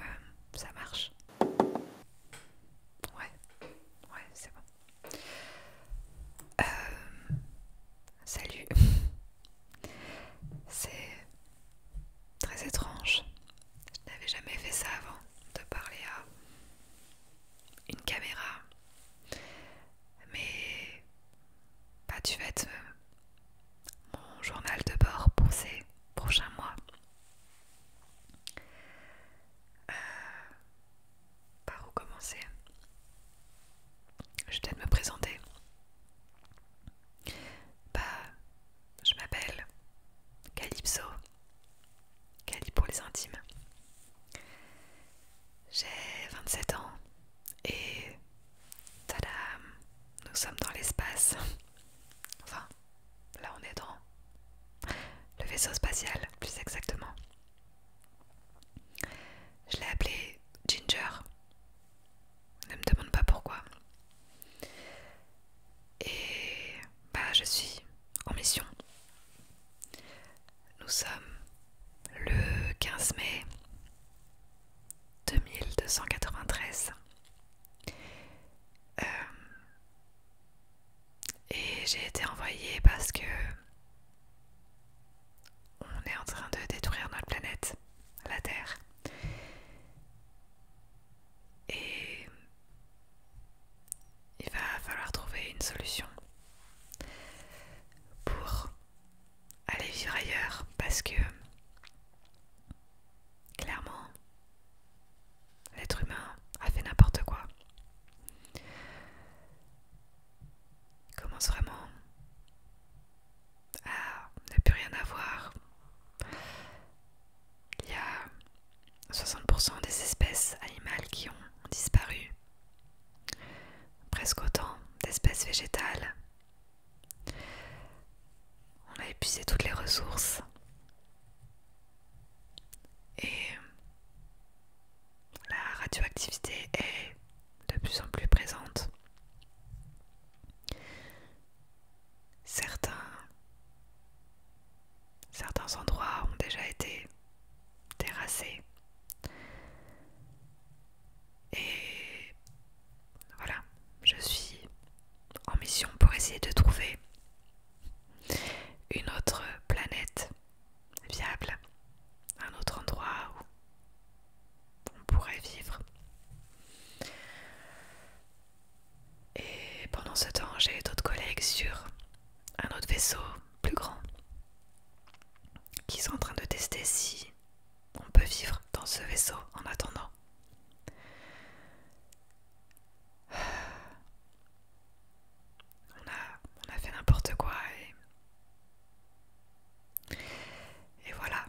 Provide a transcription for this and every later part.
Euh, ça marche. Ouais, ouais, c'est bon. Euh, salut. C'est très étrange. Je n'avais jamais fait ça avant de parler à une caméra. Mais pas tu euh, vas mon journal de bord pour ces prochains mois. Euh, par où commencer Je vais peut-être me présenter. Bah, je m'appelle Calypso, Calypso pour les intimes. J'ai 27 ans et tadam, nous sommes dans l'espace. Enfin, là on est dans le vaisseau spatial, plus exactement. Je l'ai appelé Ginger. Ne me demande pas pourquoi. Et bah je suis en mission. Nous sommes le 15 mai 2293 euh, et j'ai été envoyée parce que on est en train de détruire notre planète, la Terre. Et il va falloir trouver une solution pour aller vivre ailleurs parce que Clairement, l'être humain a fait n'importe quoi. Il commence vraiment à ne plus rien avoir. Il y a 60% des espèces animales qui ont disparu. Presque autant d'espèces végétales on a épuisé toutes les ressources. Et la radioactivité est de plus en plus présente. Certains, endroits ont déjà été terrassés. Et voilà, je suis en mission pour essayer de trouver une autre planète viable, un autre endroit où on pourrait vivre. Et pendant ce temps, j'ai d'autres collègues sur un autre vaisseau plus grand qui sont en train de tester si on peut vivre dans ce vaisseau en attendant. On a, fait n'importe quoi et... Et voilà,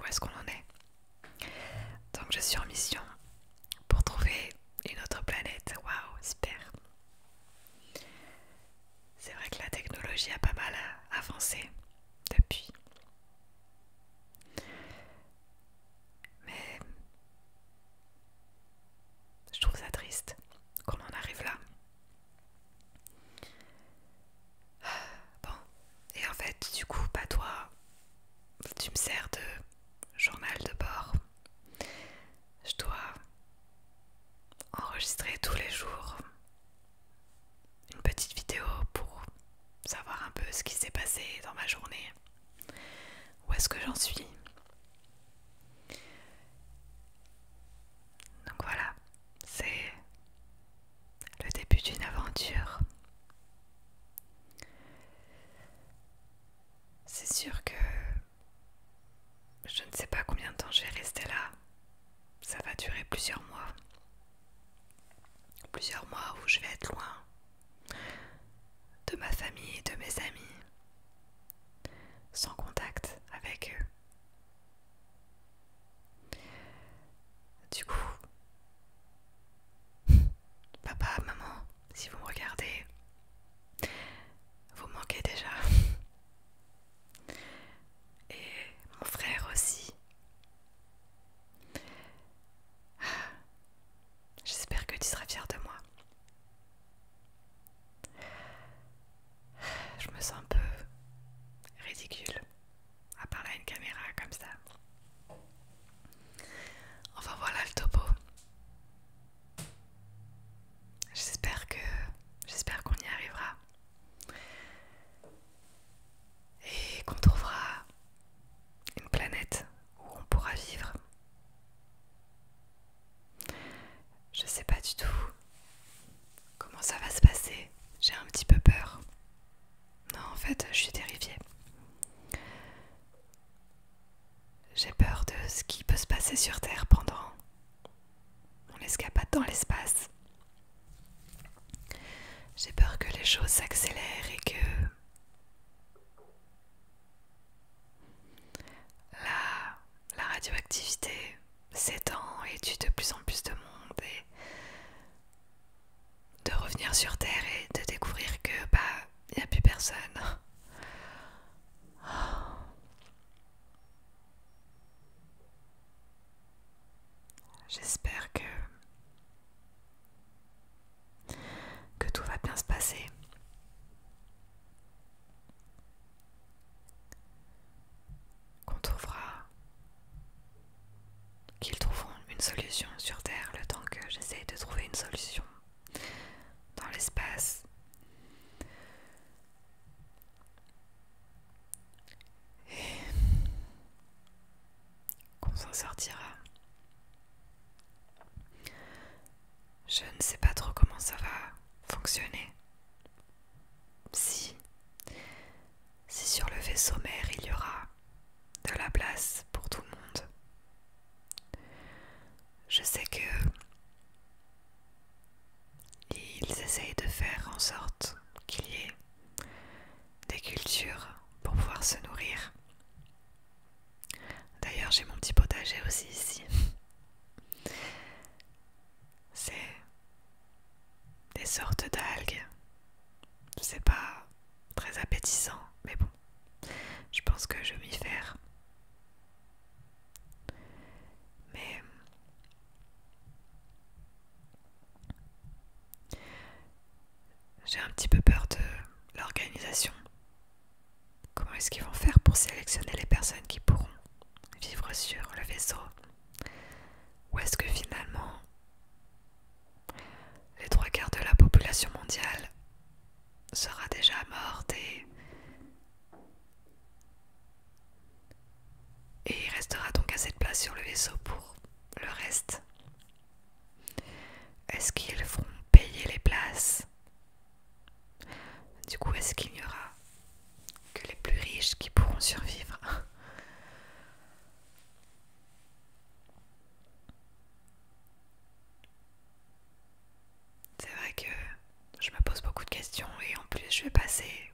où est-ce qu'on en est Donc je suis en mission pour trouver une autre planète. Waouh, super C'est vrai que la technologie a pas mal avancé depuis. Mais je trouve ça triste qu'on en arrive là. Bon, et en fait, du coup, pas toi, tu me sers de journal de bord. Je dois enregistrer tous les jours une petite vidéo pour savoir un peu ce qui s'est passé dans ma journée. Où est-ce que j'en suis Donc voilà, c'est le début d'une aventure. C'est sûr que je ne sais pas combien de temps je vais rester là. Ça va durer plusieurs mois. Plusieurs mois où je vais être loin, de ma famille et de mes amis, sans contact avec eux. Du coup, papa, maman, si vous me regardez, vous manquez déjà. Et mon frère aussi. J'espère que tu seras fière de moi. Je me sens un peu ridicule à parler à une caméra comme ça. Enfin voilà le topo. J'espère que j'espère qu'on y arrivera et qu'on trouvera une planète où on pourra vivre. Je sais pas du tout comment ça va se passer. J'ai un petit peu peur. Non, en fait, je suis terrifiée. J'ai peur de ce qui peut se passer sur Terre pendant on'' escapade dans l'espace. J'ai peur que les choses s'accélèrent et que la, la radioactivité s'étend et tue de plus en plus de monde et de revenir sur Terre et de découvrir que bah il n'y a plus personne. J'espère que que tout va bien se passer. Qu'on trouvera, qu'ils trouveront une solution sur Terre le temps que j'essaye de trouver une solution dans l'espace qu'on s'en sortira. Je ne sais pas trop comment ça va fonctionner. Si, si sur le vaisseau mère il y aura de la place pour tout le monde. Je sais que ils essayent de faire en sorte qu'il y ait des cultures pour pouvoir se nourrir. D'ailleurs, j'ai mon petit potager aussi ici. C'est des sortes d'algues. C'est pas très appétissant, mais bon, je pense que je vais m'y faire. Mais j'ai un petit peu peur de l'organisation Comment est-ce qu'ils vont faire pour sélectionner les personnes qui pourront vivre sur le vaisseau Ou est-ce que finalement les trois quarts de la population mondiale sera déjà morte et... il restera donc à cette place sur le vaisseau pour le reste est-ce qu'ils vont payer les places Du coup, est-ce qu'il n'y aura que les plus riches qui pourront survivre C'est vrai que je me pose beaucoup de questions et en plus je vais passer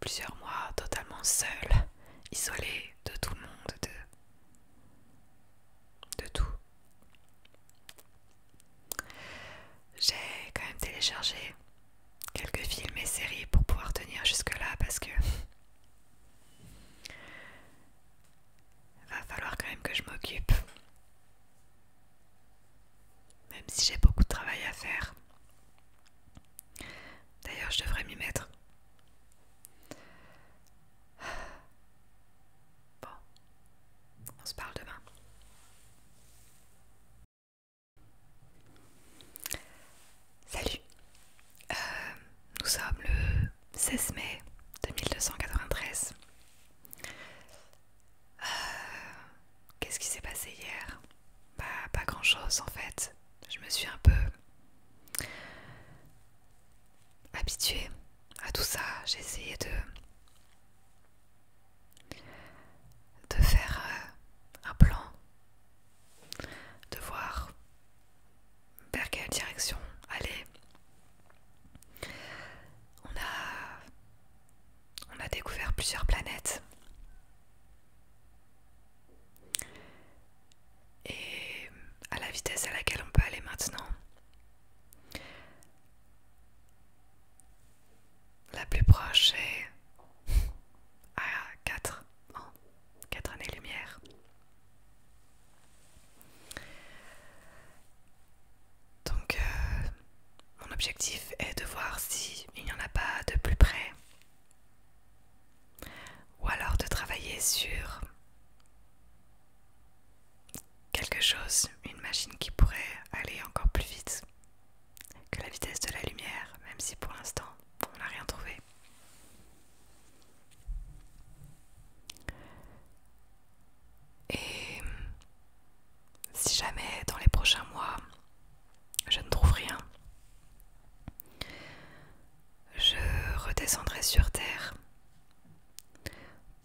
plusieurs mois totalement seule, isolée de tout le monde, de de tout. J'ai quand même téléchargé quelques films et séries pour pouvoir tenir jusque-là parce que va falloir quand même que je m'occupe. Même si j'ai beaucoup de travail à faire. D'ailleurs, je devrais m'y mettre. Bon, on se parle demain. Salut, euh, nous sommes le 16 mai 2293. Euh, qu'est-ce qui s'est passé hier Bah pas grand-chose en fait. Je me suis un peu habituée à tout ça, j'ai essayé de, de faire euh, un plan, de voir vers quelle direction aller. On a, on a découvert plusieurs planètes. Et à la vitesse à laquelle on peut aller maintenant, la plus proche est à 4 ans, 4 années-lumière. Donc, euh, mon objectif est de voir s'il n'y en a pas de plus près. Ou alors de travailler sur quelque chose, une machine qui pourrait aller encore plus vite que la vitesse de la lumière, même si pour l'instant on n'a rien trouvé. Et si jamais dans les prochains mois je ne trouve rien, je redescendrai sur Terre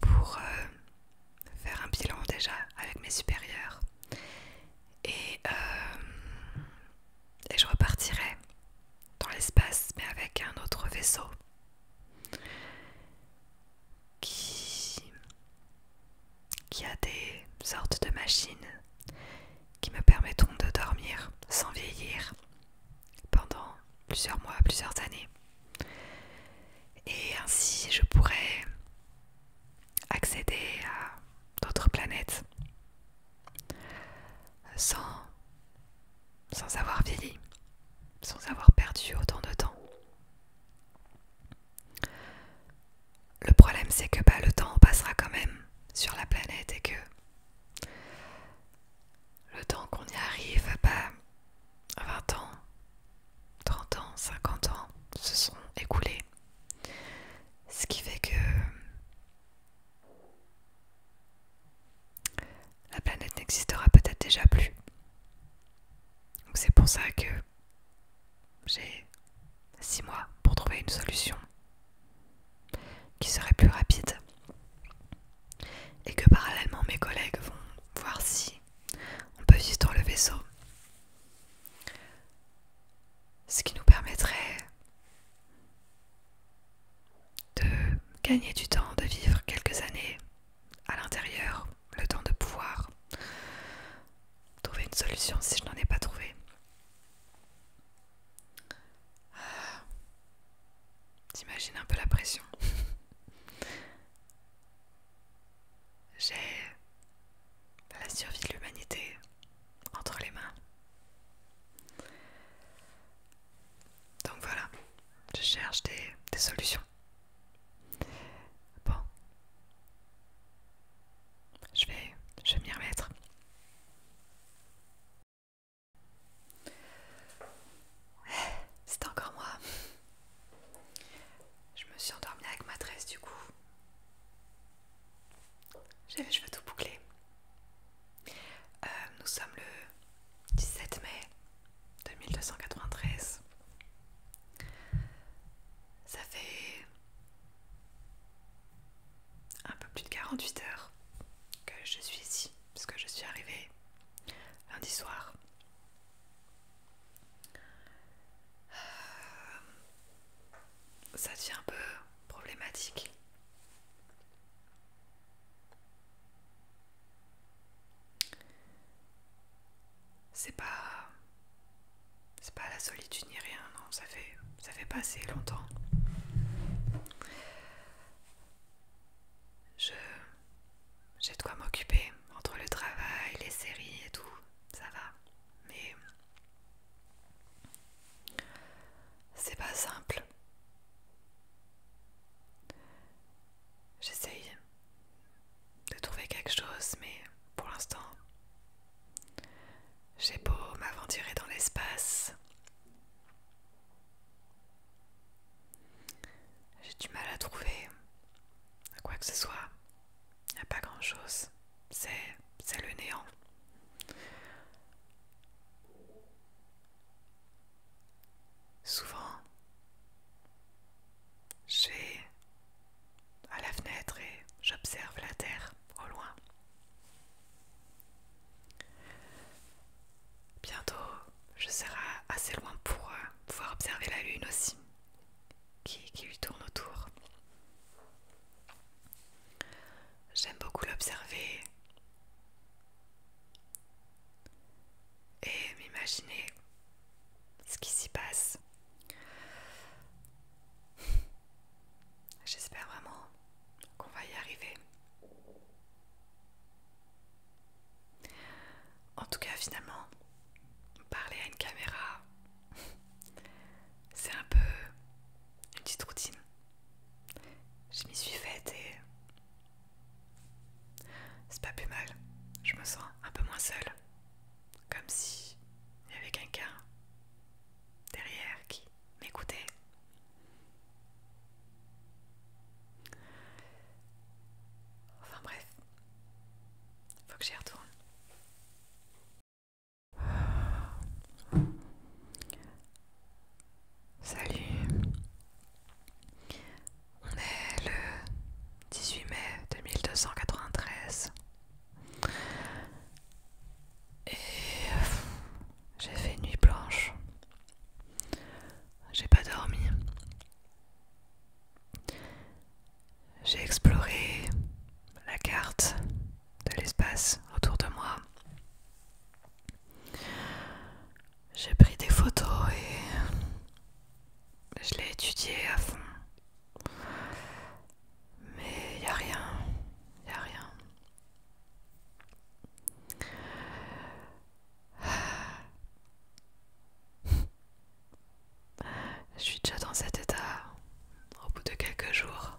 pour euh, faire un bilan déjà avec mes supérieurs euh, et, je repartirai dans l'espace mais avec un autre vaisseau qui a des sortes de machines qui me permettront de dormir sans vieillir pendant plusieurs mois, plusieurs années. Et ainsi, je pourrais accéder à d'autres planètes sans, sans avoir vieilli, sans avoir perdu autant de temps. Le problème, c'est que bah, le temps passera quand même sur la planète et que le temps qu'on y arrive, pas ah 20 bah, ans, 30 ans, 50 ans se sont écoulés. Ce qui fait que la planète n'existera peut-être déjà plus. c'est pour ça que j'ai 6 mois pour trouver une solution qui serait plus rapide et que parallèlement mes collègues vont voir si on peut juste dans le vaisseau. Ce qui nous permettrait de gagner du temps, de vivre quelques années à l'intérieur, le temps de pouvoir trouver une solution si je n'en ai pas trouvé. Euh, T'imagines un peu la pression. J'ai la survie de l'humanité entre les mains. Donc voilà, je cherche des, solutions. Bon, je vais, je vais m'y remettre. C'est encore moi. Je me suis endormie avec ma tresse du coup. J'ai les cheveux tout bouclés. Euh, nous sommes le 17 mai 2293. Ça fait un peu plus de 48 heures que je suis ici, parce que je suis arrivée lundi soir ça devient un peu problématique. C'est pas c'est pas la solitude ni rien, non, ça fait ça fait passer longtemps. Je j'ai de quoi m'occuper entre le travail, les séries et tout, ça va. Mais c'est pas simple. J'essaye de trouver quelque chose, mais pour l'instant, j'ai beau m'aventurer dans l'espace. J'ai du mal à trouver quoi que ce soit. Il n'y a pas grand chose. C'est le néant. Souvent, j'ai à la fenêtre et j'observe la terre au loin. Bientôt, je serai assez loin pour euh, pouvoir observer la lune aussi qui, qui lui tourne autour. J'aime beaucoup l'observer et m'imaginer ce qui s'y passe. J'espère vraiment qu'on va y arriver. En tout cas, finalement, parler à une caméra, c'est un peu une petite routine. Je m'y suis faite et c'est pas plus mal. Je me sens un peu moins seule, comme si il y avait quelqu'un derrière qui m'écoutait. Enfin bref, faut que j'y retourne. Salut, on est le 18 mai 2293 et j'ai fait nuit blanche. J'ai pas dormi. J'ai exploré la carte de l'espace autour de moi. J'ai pris des photos et je l'ai étudié à fond. Mais il n'y a rien, il n'y a rien. Je suis déjà dans cet état au bout de quelques jours.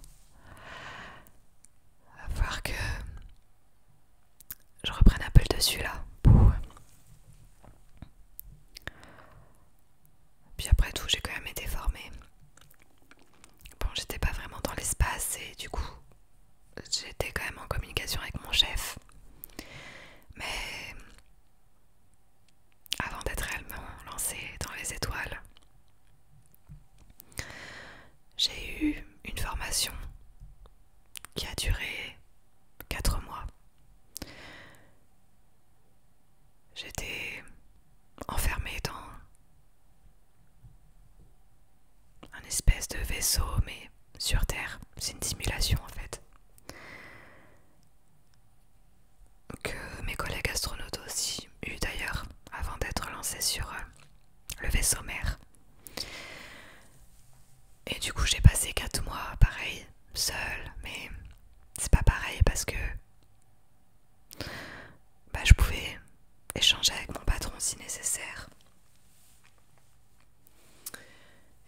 À voir que je reprenne un peu le dessus là. Puis après tout, j'ai quand même été formée. Bon, j'étais pas vraiment dans l'espace et du coup, j'étais quand même en communication avec mon chef. Mais avant d'être réellement lancée dans les étoiles, j'ai eu une formation qui a duré 4 mois. J'étais enfermée dans un espèce de vaisseau, mais sur Terre. C'est une simulation en fait. Que mes collègues astronautes aussi eu d'ailleurs avant d'être lancés sur euh, le vaisseau mère. Et du coup j'ai passé 4 mois pareil, seul, mais c'est pas pareil parce que bah, je pouvais échanger avec mon patron si nécessaire.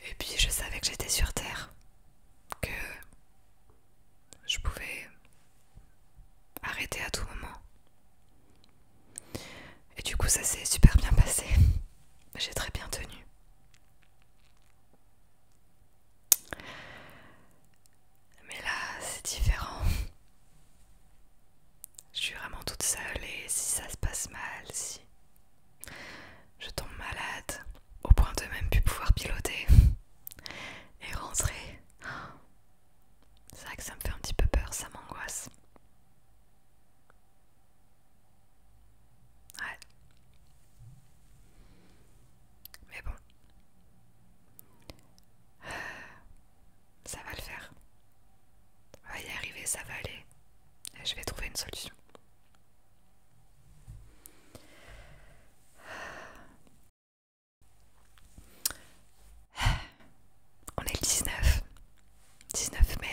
Et puis je savais que j'étais sur Terre, que je pouvais arrêter à tout moment. Et du coup ça s'est super bien passé. J'ai très bien tenu. Mais là, c'est différent. Je suis vraiment toute seule et si ça se passe mal, si je tombe malade, au point de même plus pouvoir piloter et rentrer. C'est vrai que ça me fait un petit peu peur, ça m'angoisse. Ouais. Mais bon. Euh, ça va le faire. On va y arriver, ça va aller. Et je vais trouver une solution. On est le 19, 19 mai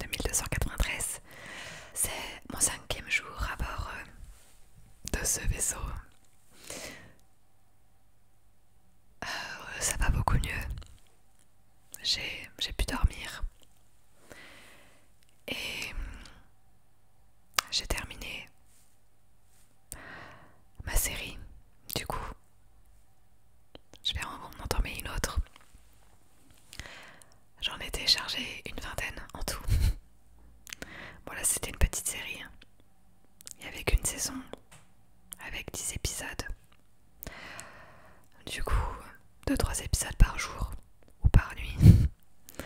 2293. C'est mon cinquième jour à bord euh, de ce vaisseau. Euh, ça va beaucoup mieux j'ai pu dormir. Et j'ai terminé ma série. Du coup, je vais en entamer une autre. J'en ai téléchargé une vingtaine en tout. Voilà, c'était une petite série. Hein. Il n'y avait qu'une saison avec 10 épisodes. Du coup, 2-3 épisodes par jour ou par nuit.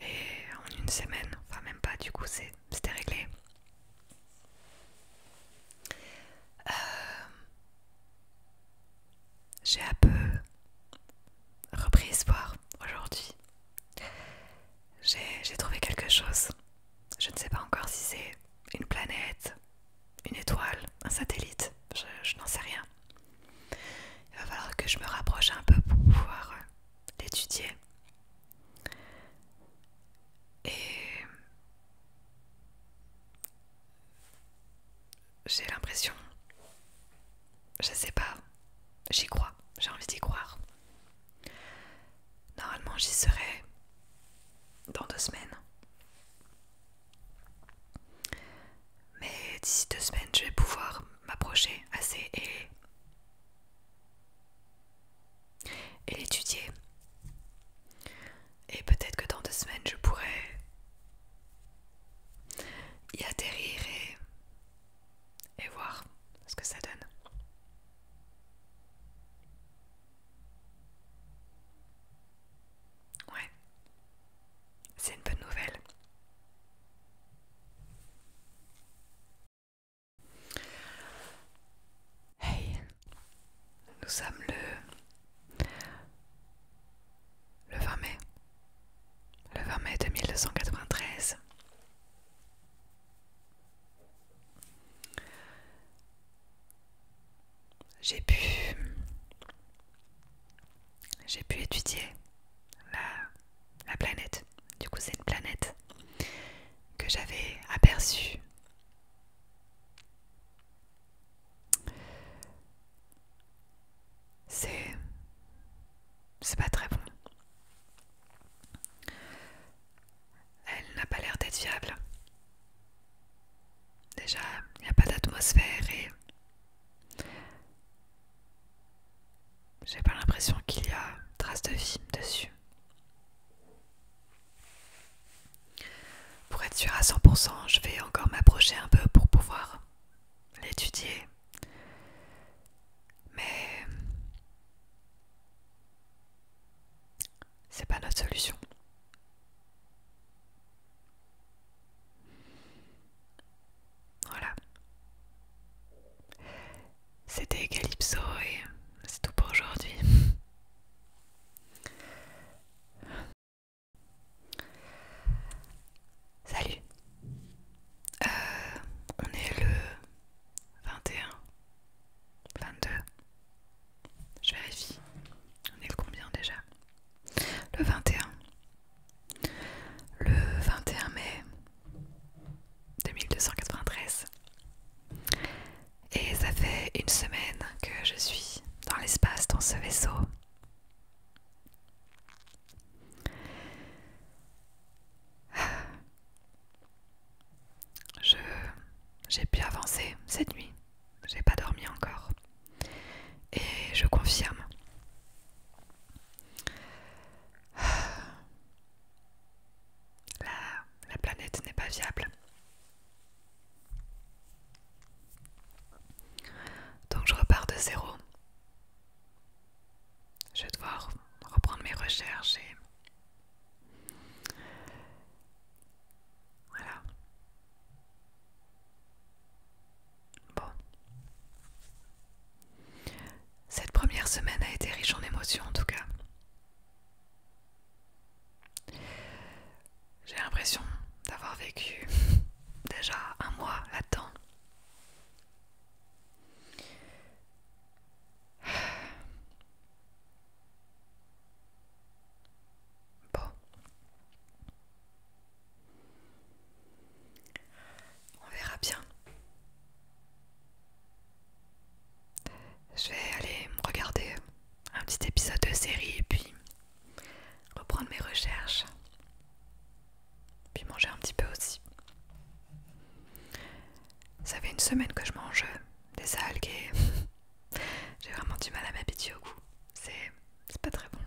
Et en une semaine, enfin même pas, du coup c'était réglé. Euh, j'ai un peu repris espoir aujourd'hui. J'ai trouvé quelque chose. Je ne sais pas encore si c'est une planète, une étoile, un satellite, je, n'en sais rien. Il va falloir que je me rapproche un peu pour pouvoir euh, l'étudier. Et j'ai l'impression, je sais pas, j'y crois, j'ai envie d'y croire. Normalement, j'y serai dans deux semaines. Mais d'ici deux semaines, je vais pouvoir m'approcher assez et, et l'étudier. Et peut-être que dans deux semaines, je pourrai y atterrir et voir ce que ça donne. Ouais, c'est une bonne nouvelle. Hey, nous sommes le... le 20 mai. Le 20 mai 2293 j'ai pu j'ai pu étudier la, planète. Du coup, c'est une planète que j'avais aperçue c'est c'est pas très bon elle n'a pas l'air d'être viable déjà il n'y a pas d'atmosphère et j'ai pas l'impression qu'il y a trace de film dessus. Pour être sûr à 100%, je vais encore m'approcher un peu pour pouvoir l'étudier. Mais c'est pas notre solution. Voilà. C'était Calypso et c'est tout pour aujourd'hui. Salut. Euh, on est le 21, 22. Je vérifie. On est le combien déjà Le 21. Le 21 mai 2293. Et ça fait une semaine que je suis dans l'espace, dans ce vaisseau. j'ai pu avancer cette nuit. J'ai pas dormi encore. Et je confirme. La, la planète n'est pas viable. Donc je repars de zéro. Je dois devoir reprendre mes recherches et... Voilà. Bon. Cette première semaine a été riche en émotions en tout cas. J'ai l'impression d'avoir vécu déjà un mois là-dedans. Bon. On verra bien. Je vais aller regarder un petit épisode de série et puis reprendre mes recherches. Puis manger un petit peu aussi. Ça fait une semaine que je mange des algues et j'ai vraiment du mal à m'habituer au goût. C'est pas très bon.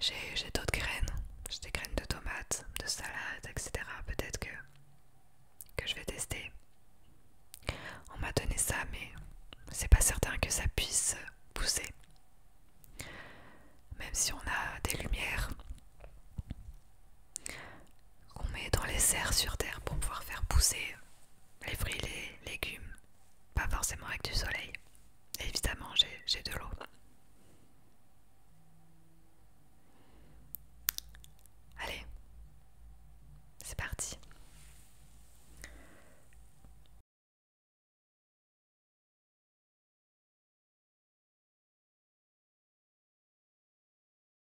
J'ai d'autres graines, j'ai des graines de tomates, de salades, etc. Peut-être que, que je vais tester. On m'a donné ça, mais c'est pas certain que ça puisse pousser. Même si on a des lumières, qu'on met dans les serres sur terre pour pouvoir faire pousser les fruits, les légumes, pas forcément avec du soleil. évidemment, j'ai de l'eau. Allez, c'est parti.